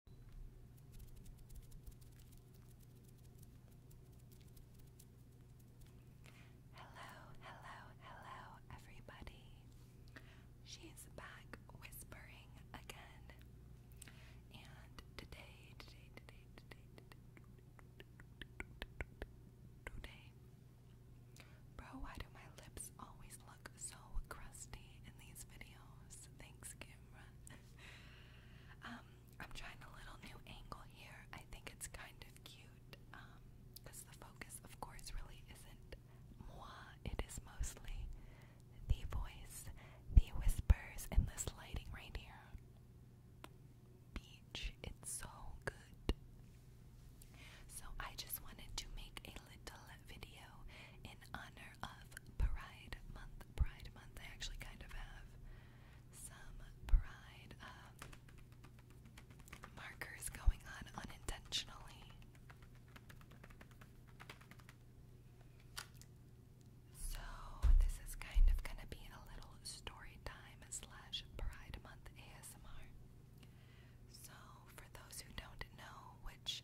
Hello, hello, hello, everybody. She's back whispering again. And today, today, today, today, today, today. Bro, why do my lips always look so crusty in these videos? Thanks, camera. Um, I'm trying a little new angle here. I think it's kind of cute because um, the focus, of course, really isn't moi. It is mostly the voice, the whispers, and the sliding right here. Beach, it's so good. So I just wanted to make a little video in honor of Pride Month. Pride Month, I actually kind of have some pride um, markers going on unintentionally. So, this is kind of gonna be a little story time slash Pride Month ASMR. So, for those who don't know, which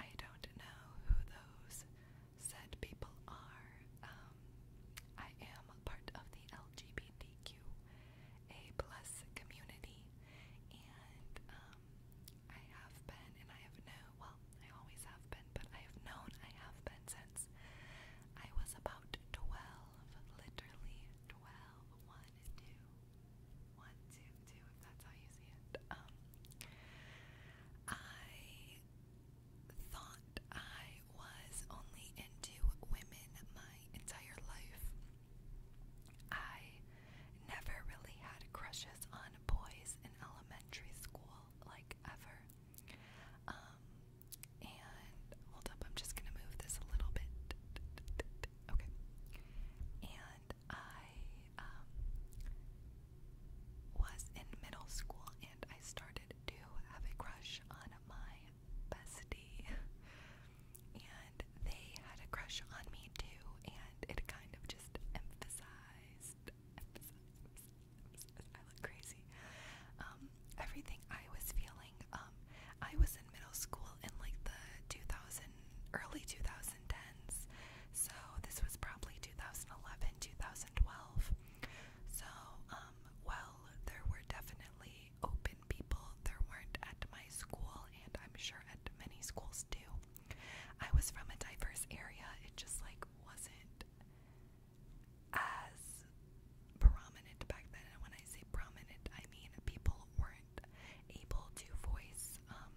I don't know who those said people are. Um, I am part of the LGBTQA plus community, and um, I have been, and I have known. Well, I always have been, but I have known I have been since I was about twelve, literally twelve. One, two, one, two, two. If that's how you see it. Um, I thought I was only into women my entire life. I never really had crushes on boys in elementary school, like ever. Um, and hold up, I'm just gonna move this a little bit. Okay. And I um, was in middle school and I started to have a crush on my bestie. And they had a crush on me too, and it kind of just emphasized, I look crazy. Um, everything I was feeling. Um, I was in middle school in like the 2000, early 2000s. 2010s. So this was probably 2011, 2012. So, um, well, there were definitely open people. There weren't at my school, and I'm sure at many schools too. I was from a diverse area. It just like wasn't as prominent back then. And when I say prominent, I mean people weren't able to voice um,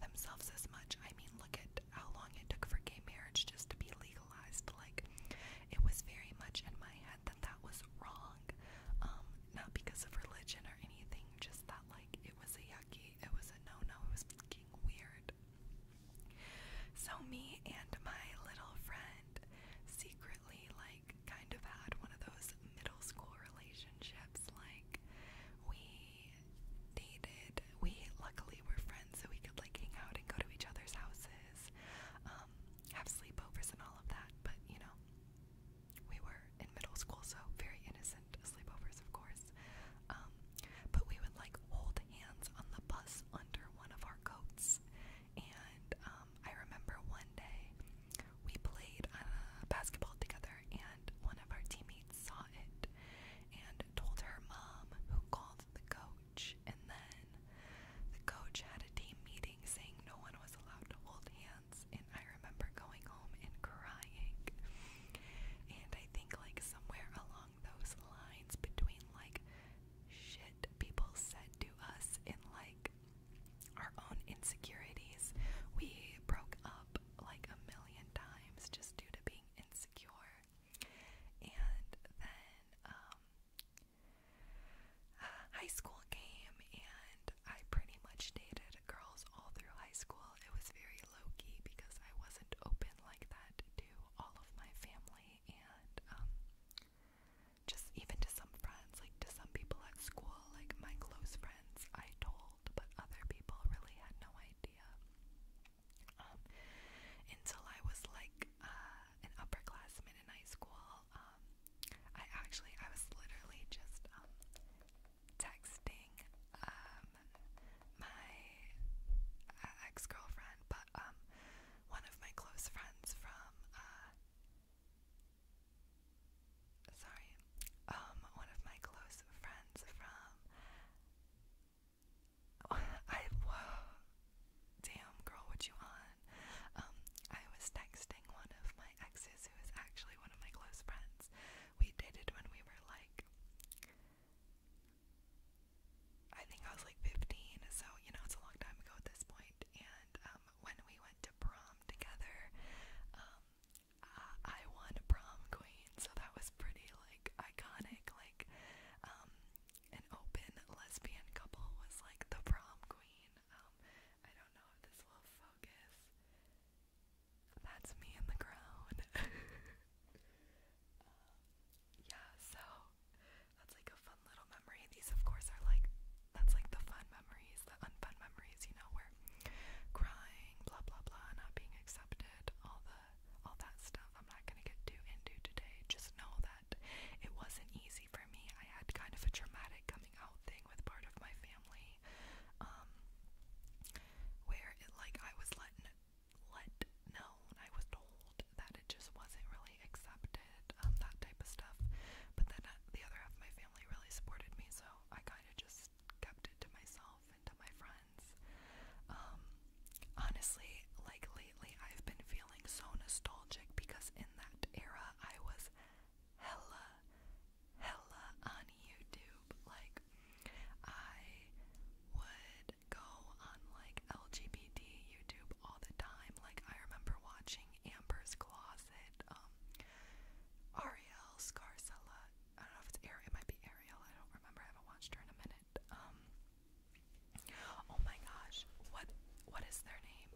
themselves as much. I mean, look at how long it took for gay marriage just to be legalized. Like, it was very much in my head that that was wrong. Um, not because of religion or anything, just that, like, it was a yucky, it was a no no, it was fucking weird. So, me and my little friend secretly, like, kind of had one of those middle school relationships. Like, we dated, we luckily were friends, so we could like hang out and go to each other's houses, um, have sleepovers and all of that. But you know, we were in middle school, so very innocent sleepovers, of course. Um, but we would like hold hands on the bus under one of our coats, and um, I remember one day we played uh, basketball together, and one of our teammates saw it, and told her mom, who called the coach. And then the coach had a team meeting saying no one was allowed to hold hands. And I remember going home and crying. And I think, like, somewhere along those lines between, like, shit people said to us and, like, our own insecurities, we broke up like a million times just due to being insecure and then um, high school came, and I pretty much dated girls all through high school. It was very low key because I wasn't open like that to all of my family and um, just even to some friends, like to some people at school, like my close friends, I told, but other people really had no idea um, until I was like uh, an upperclassman in high school. Um, I actually, I was literally just um, texting um, my ex girlfriend, but um, one of my close friends from. Uh, Sorry, um, one of my close friends from I wow, damn girl, what you on? Um, I was texting one of my exes who is actually one of my close friends. We dated when we were like, I think I was like 15, so you know it's a long time ago at this point. And um, when we went to prom together, um, I won prom queen so that was pretty like iconic. Like, um, an open lesbian couple was like the prom queen. Um, I don't know if this will focus. That's me in the ground. Uh, yeah, so that's like a fun little memory. These, of course, are like that's like the fun memories, the unfun memories, you know, where crying, blah blah blah, not being accepted, all the all that stuff. I'm not gonna get too into today. Just know that it wasn't easy for me. I had kind of a traumatic coming out thing with part of my family, um, where it like I was letting let known. I was told that it just wasn't really accepted, um, that type of stuff. But then uh, the other half of my family really supported me, so I kind of just kept it to myself and to my friends. Um, honestly, like lately, I've been feeling so nostalgic because in that era, I was hella, hella on YouTube. Like, I would go on like LGBT YouTube all the time. Like, I remember watching Amber's Closet, um, Ariel Scarsella. I don't know if it's Ariel. It might be Ariel. I don't remember. I haven't watched her in a minute. Um, Oh my gosh, what what is their name?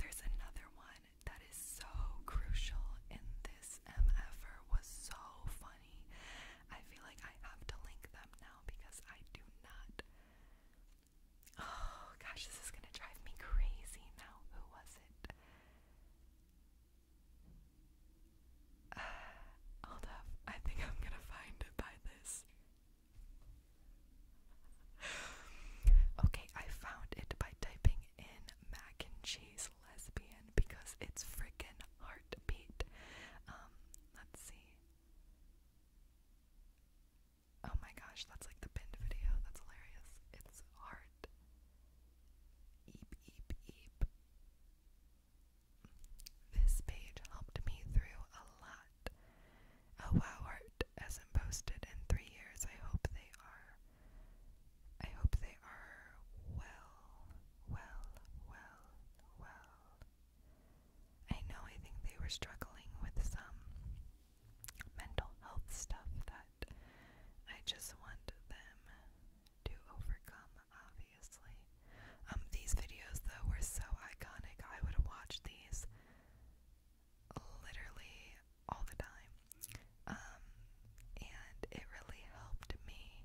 There's another one that is so crucial in this MFR er. was so funny. I feel like I have to link them now because I do not Oh gosh, this is gonna drive me crazy now. Who was it? Uh, I think I'm gonna find it by this. okay, I found it by typing in mac and cheese lesbian because it's freaking heartbeat. Um, let's see. Oh my gosh, that's like the pinned video. That's hilarious. It's art. Eep, eep, eep. This page helped me through a lot. Oh wow, art hasn't posted in three years. I hope they are. I hope they are well, well, well, well. I know I think they were struggling with some mental health stuff that I just want them to overcome, obviously. Um, these videos, though, were so iconic. I would watch these literally all the time. Um, and it really helped me.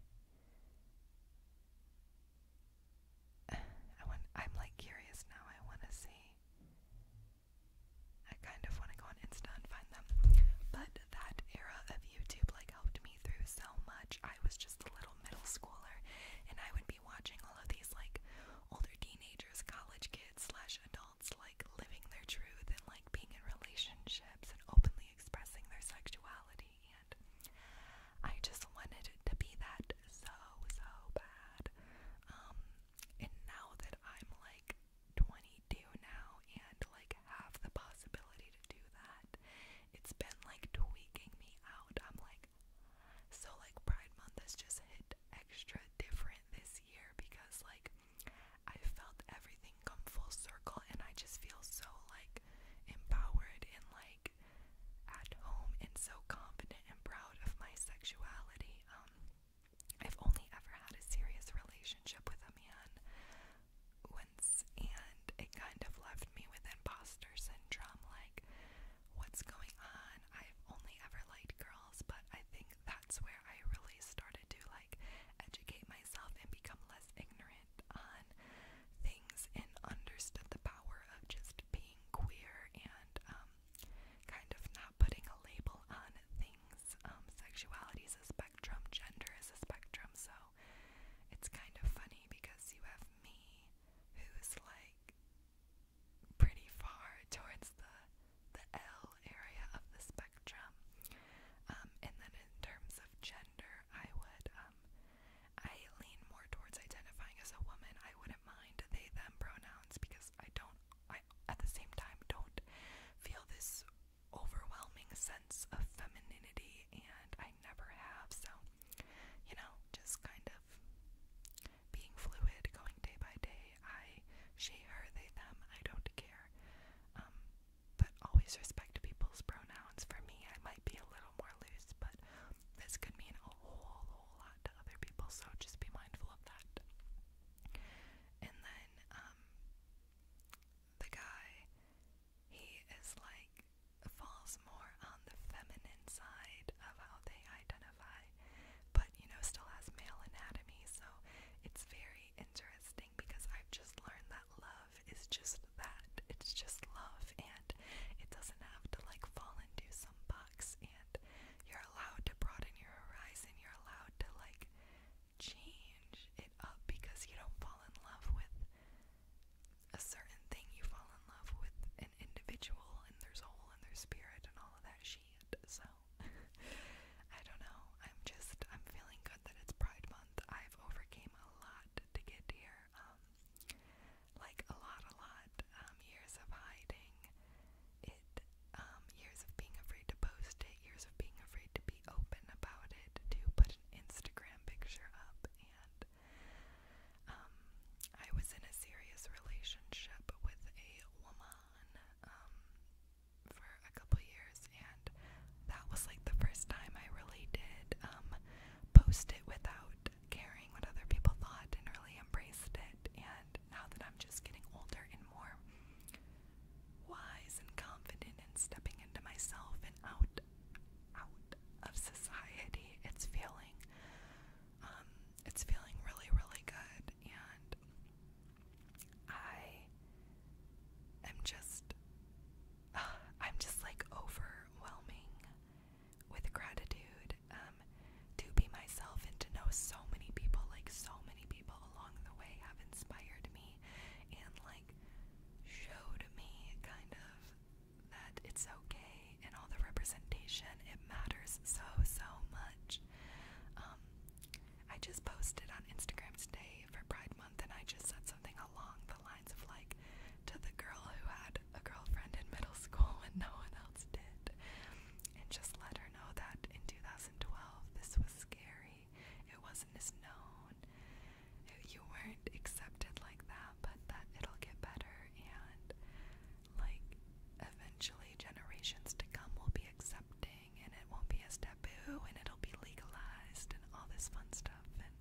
I want, I'm like curious now. I want to see. I kind of want to go on Insta and find them. But that era of YouTube like helped me me through so much. I was just a little middle schooler, and I would be watching all of these like older teenagers, college kids, slash adults, like living their truth and like being in relationships and openly expressing their sexuality. And I just wanted to be that so, so bad. Um, and now that I'm like 22 now and like have the possibility to do that, it's been like tweaking me out. I'm like, so like Pride Month has just hit extra different this year because like I felt everything come full circle and I just feel so like empowered and like at home and so confident and proud of my sexuality. Um, I've only ever had a serious relationship with a man once and it kind of left me with imposter syndrome like what's going on. I've only ever liked girls, but I think that's where I really started to like educate myself and become less ignorant on things and understood the power of just being queer and um, kind of not putting a label on things. Um sexuality is a spectrum, gender is a spectrum, so it's kind of funny because you have me who's like pretty far towards the the L area of the spectrum. Um, and then in terms of gender, I would um, I lean more towards identifying as a woman. I wouldn't mind they them pronouns because I don't I at the same time don't feel this overwhelming sense of femininity and I never have so you know, just kind of being fluid, going day by day. I, she, her, they, them, I don't care. Um, but always respect people's pronouns. For me, I might be a little more loose, but this could mean a whole, whole lot to other people, so just be mindful of that. And then, um, the guy, he is like, falls more on the feminine side of how they identify, but you know, still has male anatomy. So it's very interesting because I've just learned that love is just that it's just love, and it doesn't have to like fall into some box. And you're allowed to broaden your horizon, you're allowed to like change it up because you don't fall in love with a certain thing, you fall in love with individual and their soul and there's spirit and all of that shit. So I don't know. I'm just I'm feeling good that it's Pride Month. I've overcame a lot to get here. Um like a lot, a lot. Um years of hiding it, um, years of being afraid to post it, years of being afraid to be open about it, to put an Instagram picture up and that um, I was in a serious relationship with a woman um, for a couple years, and that was like the first time I really did um, post it without caring what other people thought and really embraced it. And now that I'm just getting older and more wise and confident and stepping into myself and out out of society, it's feeling um, it's feeling really, really good, and I am just, I'm just like overwhelming with gratitude um, to be myself and to know so many people, like so many people along the way have inspired me and like showed me kind of that it's okay and all the representation it matters so so much um, i just posted on instagram today for pride month and i just said something along the lines of like to the girl who had a girlfriend in middle school when no one else did and just let her know that in 2012 this was scary it wasn't as known you weren't accepted like that but that it'll get better and like eventually generations to come will be accepting and it won't be as taboo and it'll be legalized and all this fun stuff and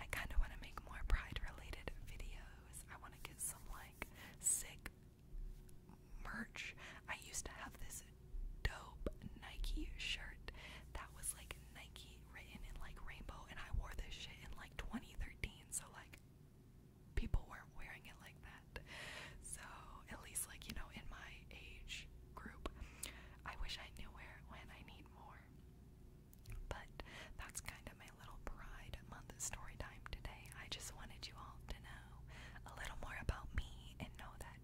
I kinda wanna make more pride related videos. I wanna get some like sick merch. I used to have this dope Nike shirt that was like Nike written in like rainbow and I wore this shit in like 2013 so like people weren't wearing it like that. So at least like, you know, in my age group, I wish I knew where it went. I need more. But that's kind of my little pride month story time today. I just wanted you all to know a little more about me and know that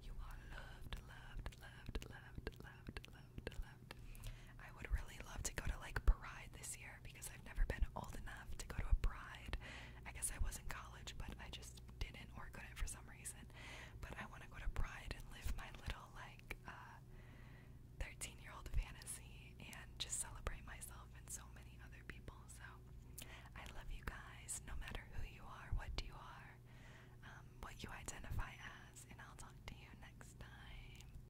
you are loved, loved, loved, loved, loved, loved, loved. I would really love to go to like Pride this year because I've never been old enough to go to a Pride. I guess I was in college, but I just didn't or couldn't for some reason. But I want to go to Pride and live my little like uh, 13 year old fantasy and just celebrate myself and so many other people. So I love you guys, no matter who you are, what you are, um, what you identify as, and I'll talk to you next time.